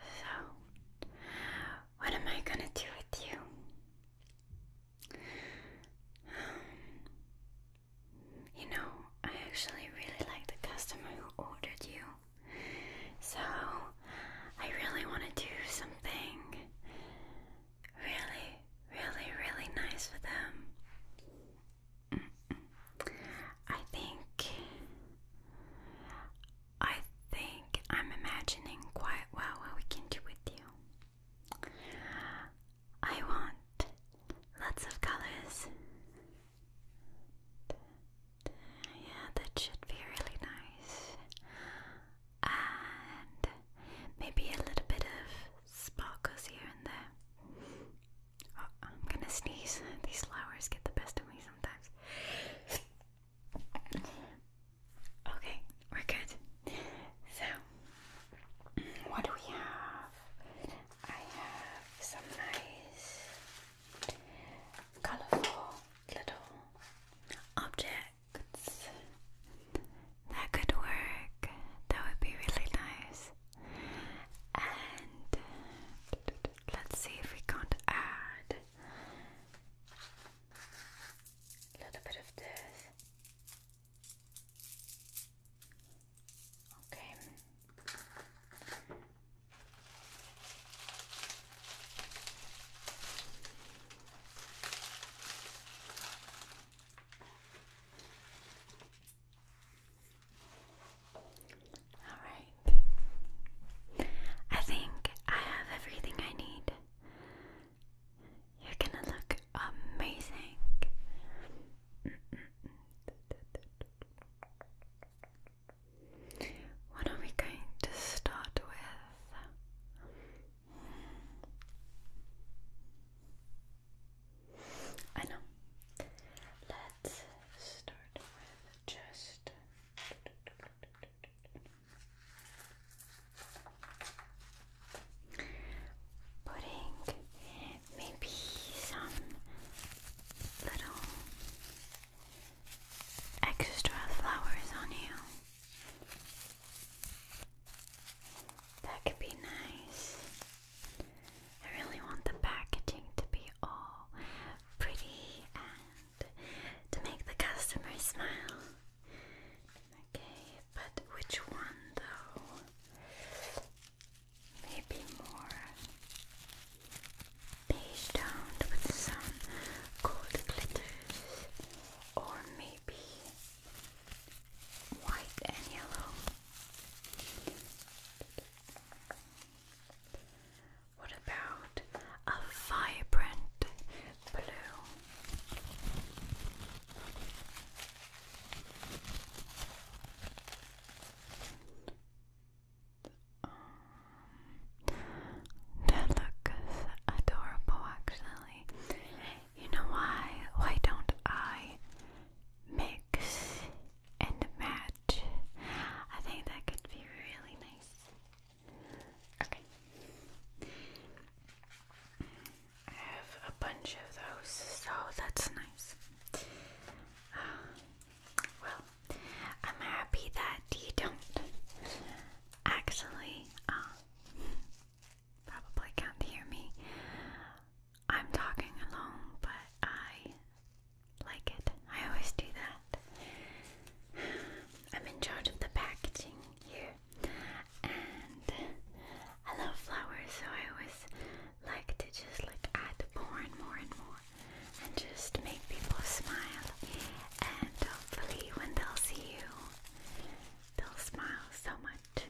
So, what am I gonna do with you? Um, you know, I actually really like the customer who ordered you. So, I really want to do something really, really, really nice for them. I think I think I'm imagining quite well what we can do with you. I want lots of colors. Yeah, that should be really nice. And maybe a little bit of sparkles here and there. Uh, I'm gonna sneeze. These flowers get the best of me sometimes. okay, we're good. So, what do we have? I have some nice, colorful little objects that could work. That would be really nice and let's see if we can't add a little bit of this. Okay. Alright. I think I have everything I need. You're gonna look amazing. What are we going to start with? I know. Let's start with just putting maybe some little extra flowers on you. That could be nice. I really want the packaging to be all pretty and to make the customer smile. Okay, but which one though? Maybe more beige toned with some gold glitters, or maybe white and yellow. What about a vibrant blue? Um, that looks adorable, actually. You know why? Why don't I mix and the match. I think that could be really nice. Okay. I have a bunch of those, so that's nice. well, I'm happy that you don't actually uh, probably can't hear me. I'm talking alone, but I like it. I always do that. I'm in charge of the packaging here, and I love flowers, so I always like to just like add more and more and more, and just make people smile. And hopefully, when they'll see you, they'll smile so much.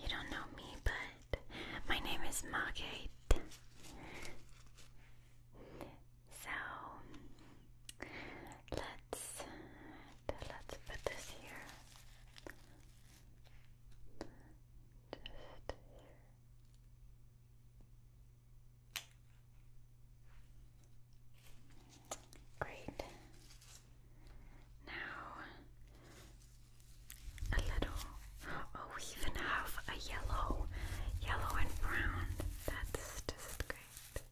You don't know me, but my name is Margate. So let's let's put this here. Great. Now, a little. Oh, we even have a yellow, yellow and brown. That's just great.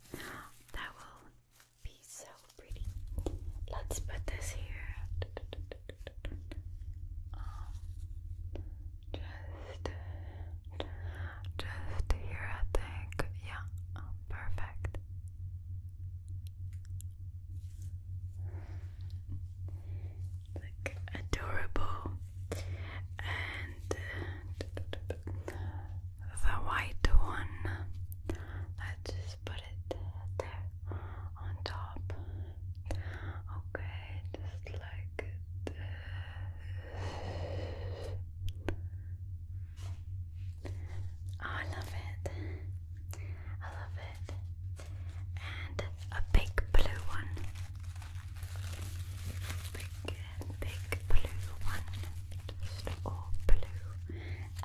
That will be so pretty. Let's put this here. Um, just, just here, I think. Yeah, oh, perfect like adorable and uh, the white one let's just put it there on top okay just like I love it I love it. And a big blue one. Big, big blue one. Just all blue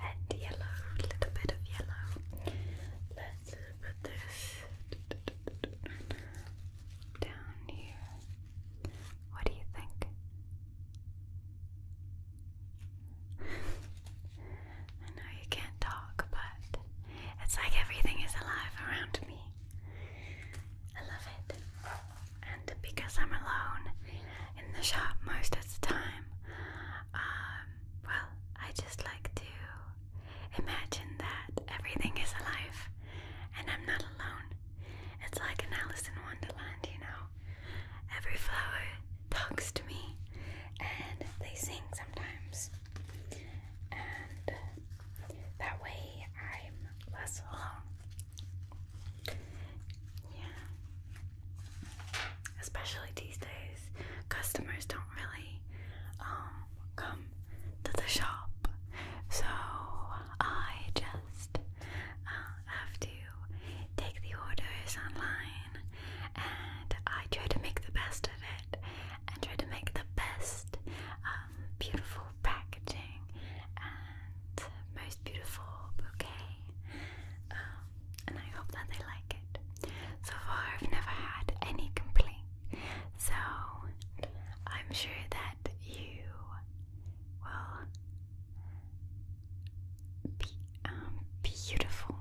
and yellow. A little bit of yellow. Let's put this down here. What do you think? I know you can't talk, but it's like everything is alive around me. I love it. And because I'm alone in the shop most of the time, um, well, I just like to imagine that everything is alive and I'm not alone. It's like an Alice in Wonderland, you know. Every flower talks to me, and they sing sometimes. And that way I'm less alone. Yeah. Especially these days, customers don't really um, come to the shop. So I just uh, have to take the orders online and I try to make the best of it, and try to make the best um, beautiful packaging and most beautiful bouquet. Um, and I hope that they like it. So far, I've never had any complaint, so I'm sure that you will be um, beautiful.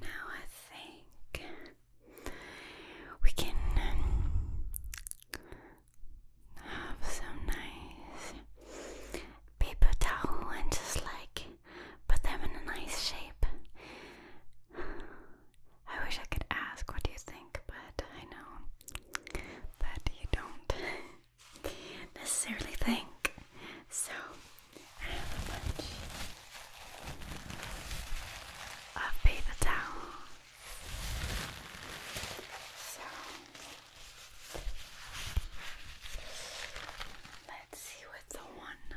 Now I think we can um, have some nice paper towel and just like put them in a nice shape. I wish I could ask what do you think, but I know that you don't necessarily think so I have a bunch of paper towels. So let's see what's the one.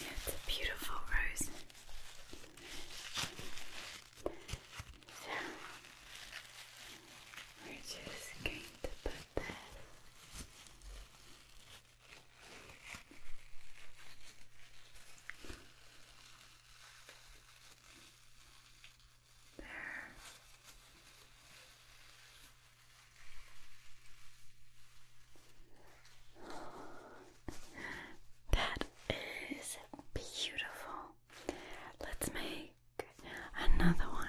It's a beautiful rose. So we're just going to put this there. That is beautiful. Let's make another one.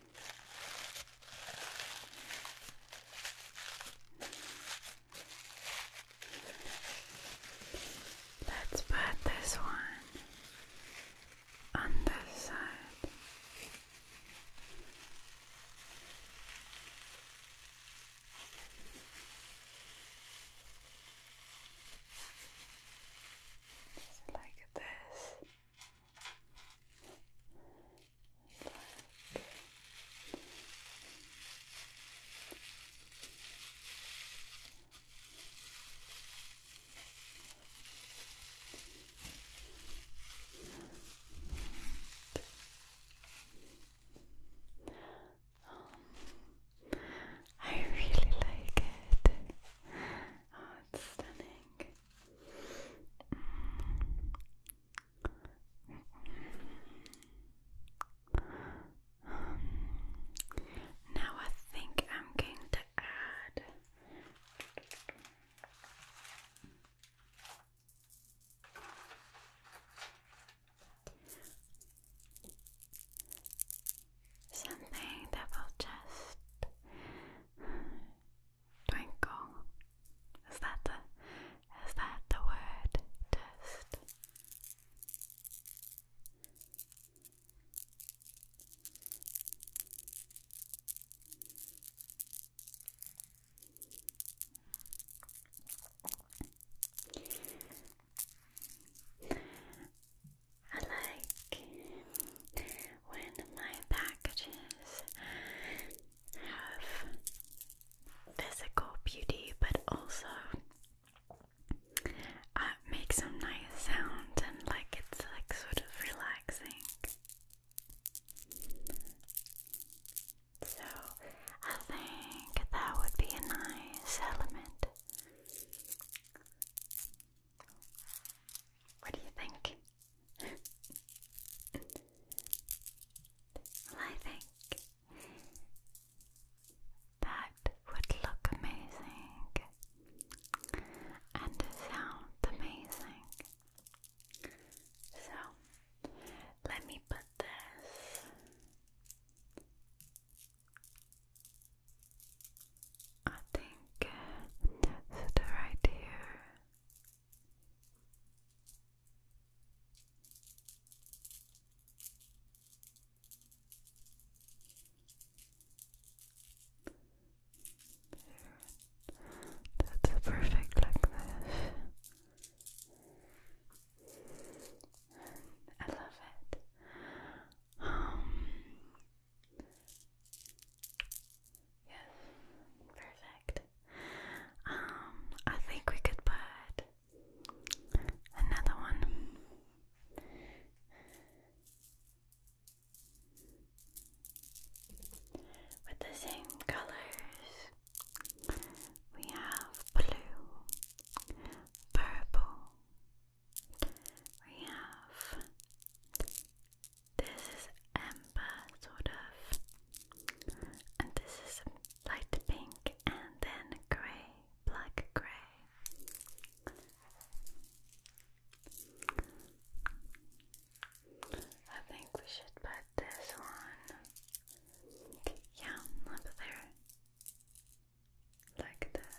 Let's put this one on this side. Just like this black. Um, I really like it. Oh, it's stunning. Mm. Now I think I'm going to add something that will just Twinkle. Is that the is that the word? Test. I like when my packages have physical beauty, but also uh, make nice sound and like it's like sort of relaxing. So I think that would be a nice element. What do you think? well, I think that would look amazing and sound amazing. So, let me put this I think uh, right here that's perfect like this. I love it. Um, Yes, perfect. Um, I think we could put another one. With the same colors, we have blue, purple, we have this is amber, sort of, and this is light pink, and then grey, black grey. I think we should put this one, yeah, up there, like that.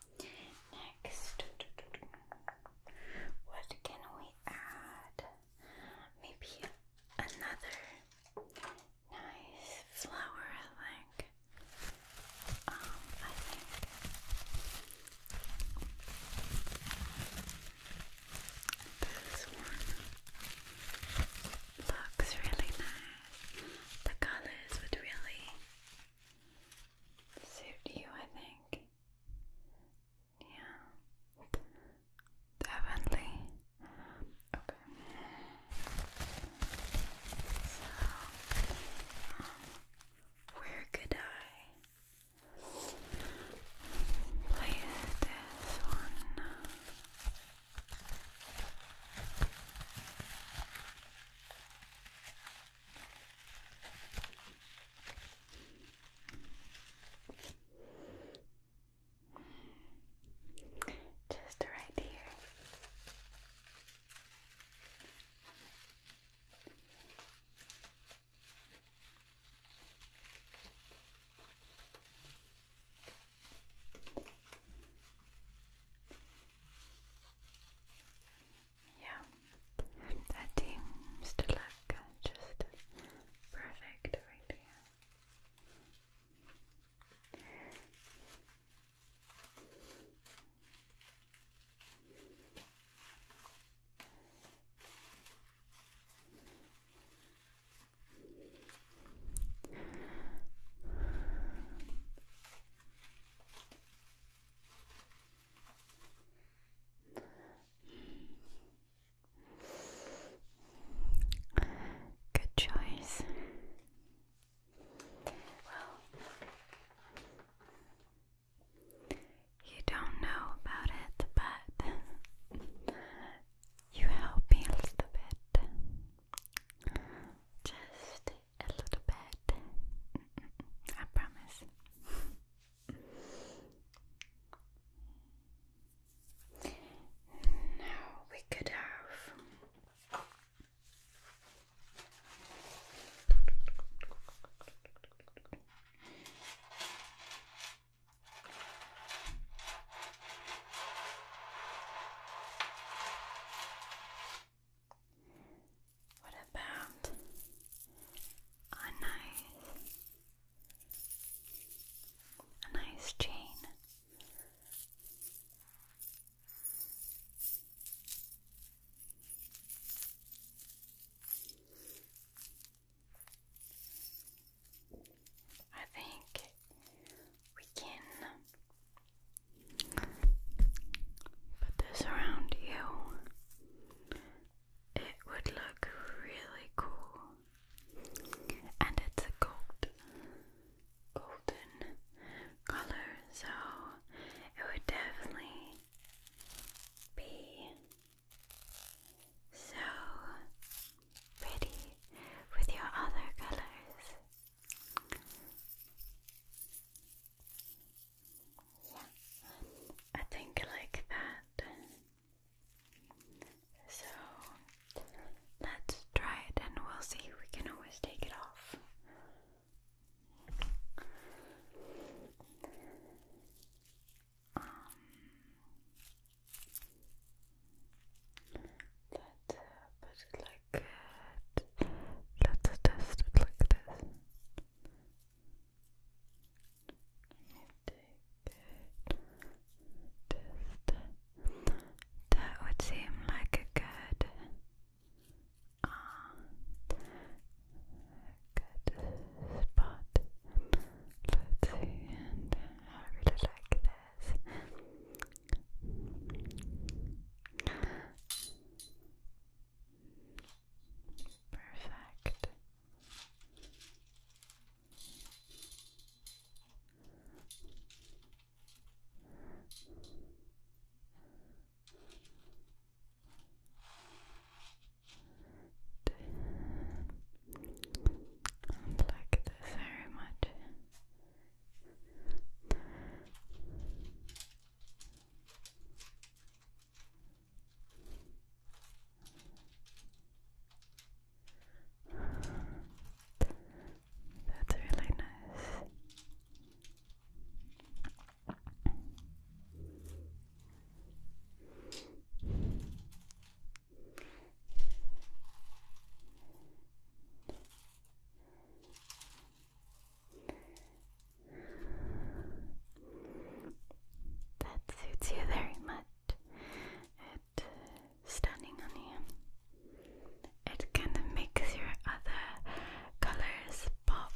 Next, what can we add? Maybe another nice flower, I think. Um, I think this one looks really nice. The colors would really suit you, I think. Yeah, definitely. Okay. So, um, where could I play this one? Just right here. Yeah, that seems to look just perfect right Good choice. Well, you don't know about it, but you help me a little bit. Just a little bit. I promise. Now we could have what about a nice a nice chain? I think we can put this around you it would look really cool. And it's a gold, golden color, so it would definitely be so pretty with your other colors. I think like that. So let's try it and we'll see. We can always take it off. Um, let's uh, put it like that. Let's test it like this that would seem like a good uh, um, good spot. Let's see, I really like this. Perfect. I like this very much. That's really nice. That suits you very much. It's stunning on you. It kind of makes your other colors pop,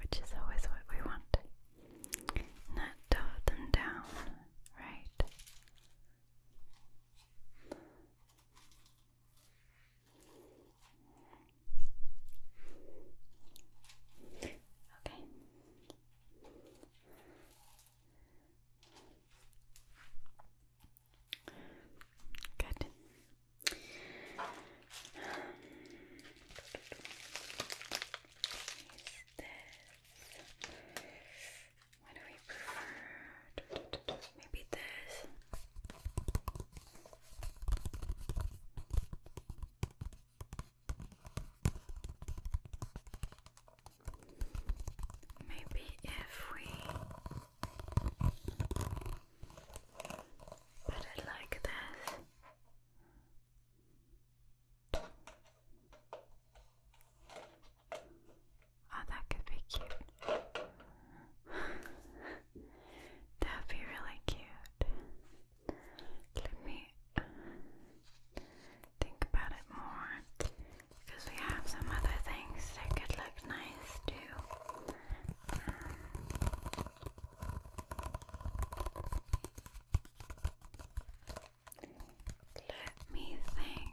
which is always what we want. Not dull them down, right? Okay. Good. Is this? What do we prefer? Maybe this. Maybe if we put it like this. Oh, that could be cute. That'd be really cute. Let me think about it more because we have some other things that could look nice too. let me think.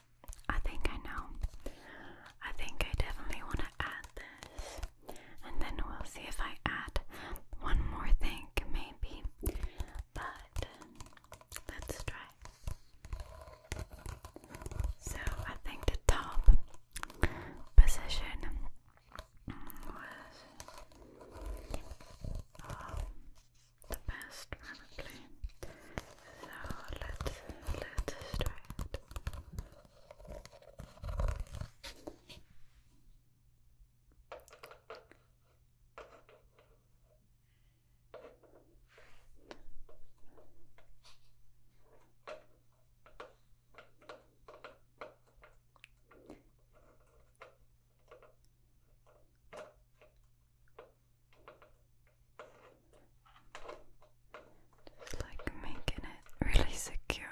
I think I know. I think I definitely want to add this. And then we'll see if I add one more thing, maybe. But let's try. So I think the top position was um, the best, probably. So let's let's try it. Just like making it really secure.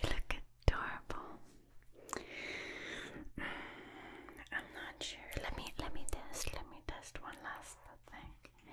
you look adorable. Mm, I'm not sure. Let me let me test. Let me test one last thing.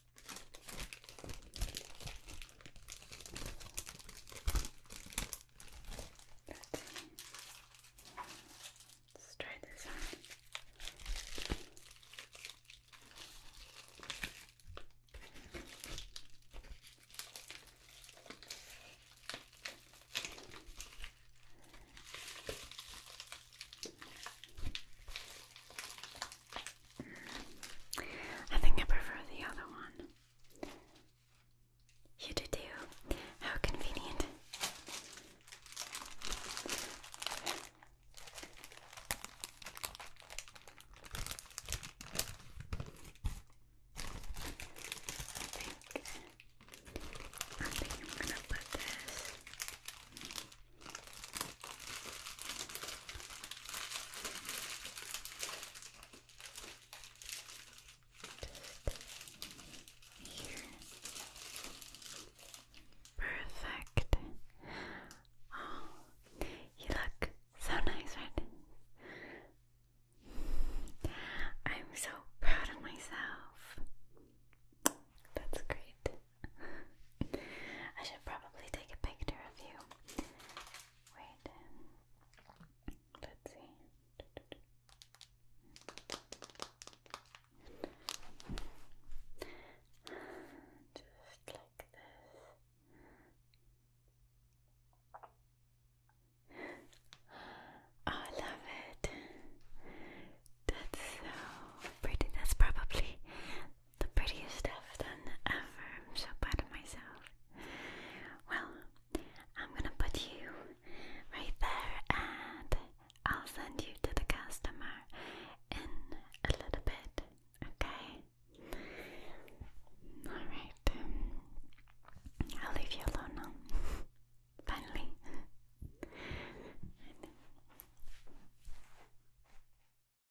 Let's try this on. I think I prefer the other one. You too. How convenient. I think I'm gonna put this Perfect. Oh, you look so nice right I'm so proud of myself. That's great. I should probably take a picture of you. Wait. Let's see. Just like this. I love it. That's so pretty. That's probably the prettiest stuff done ever. I'm so proud of myself. Well, I'm gonna put you right there and I'll send you to the customer in a little bit, okay? Alright, um, I'll leave you alone now. Finally.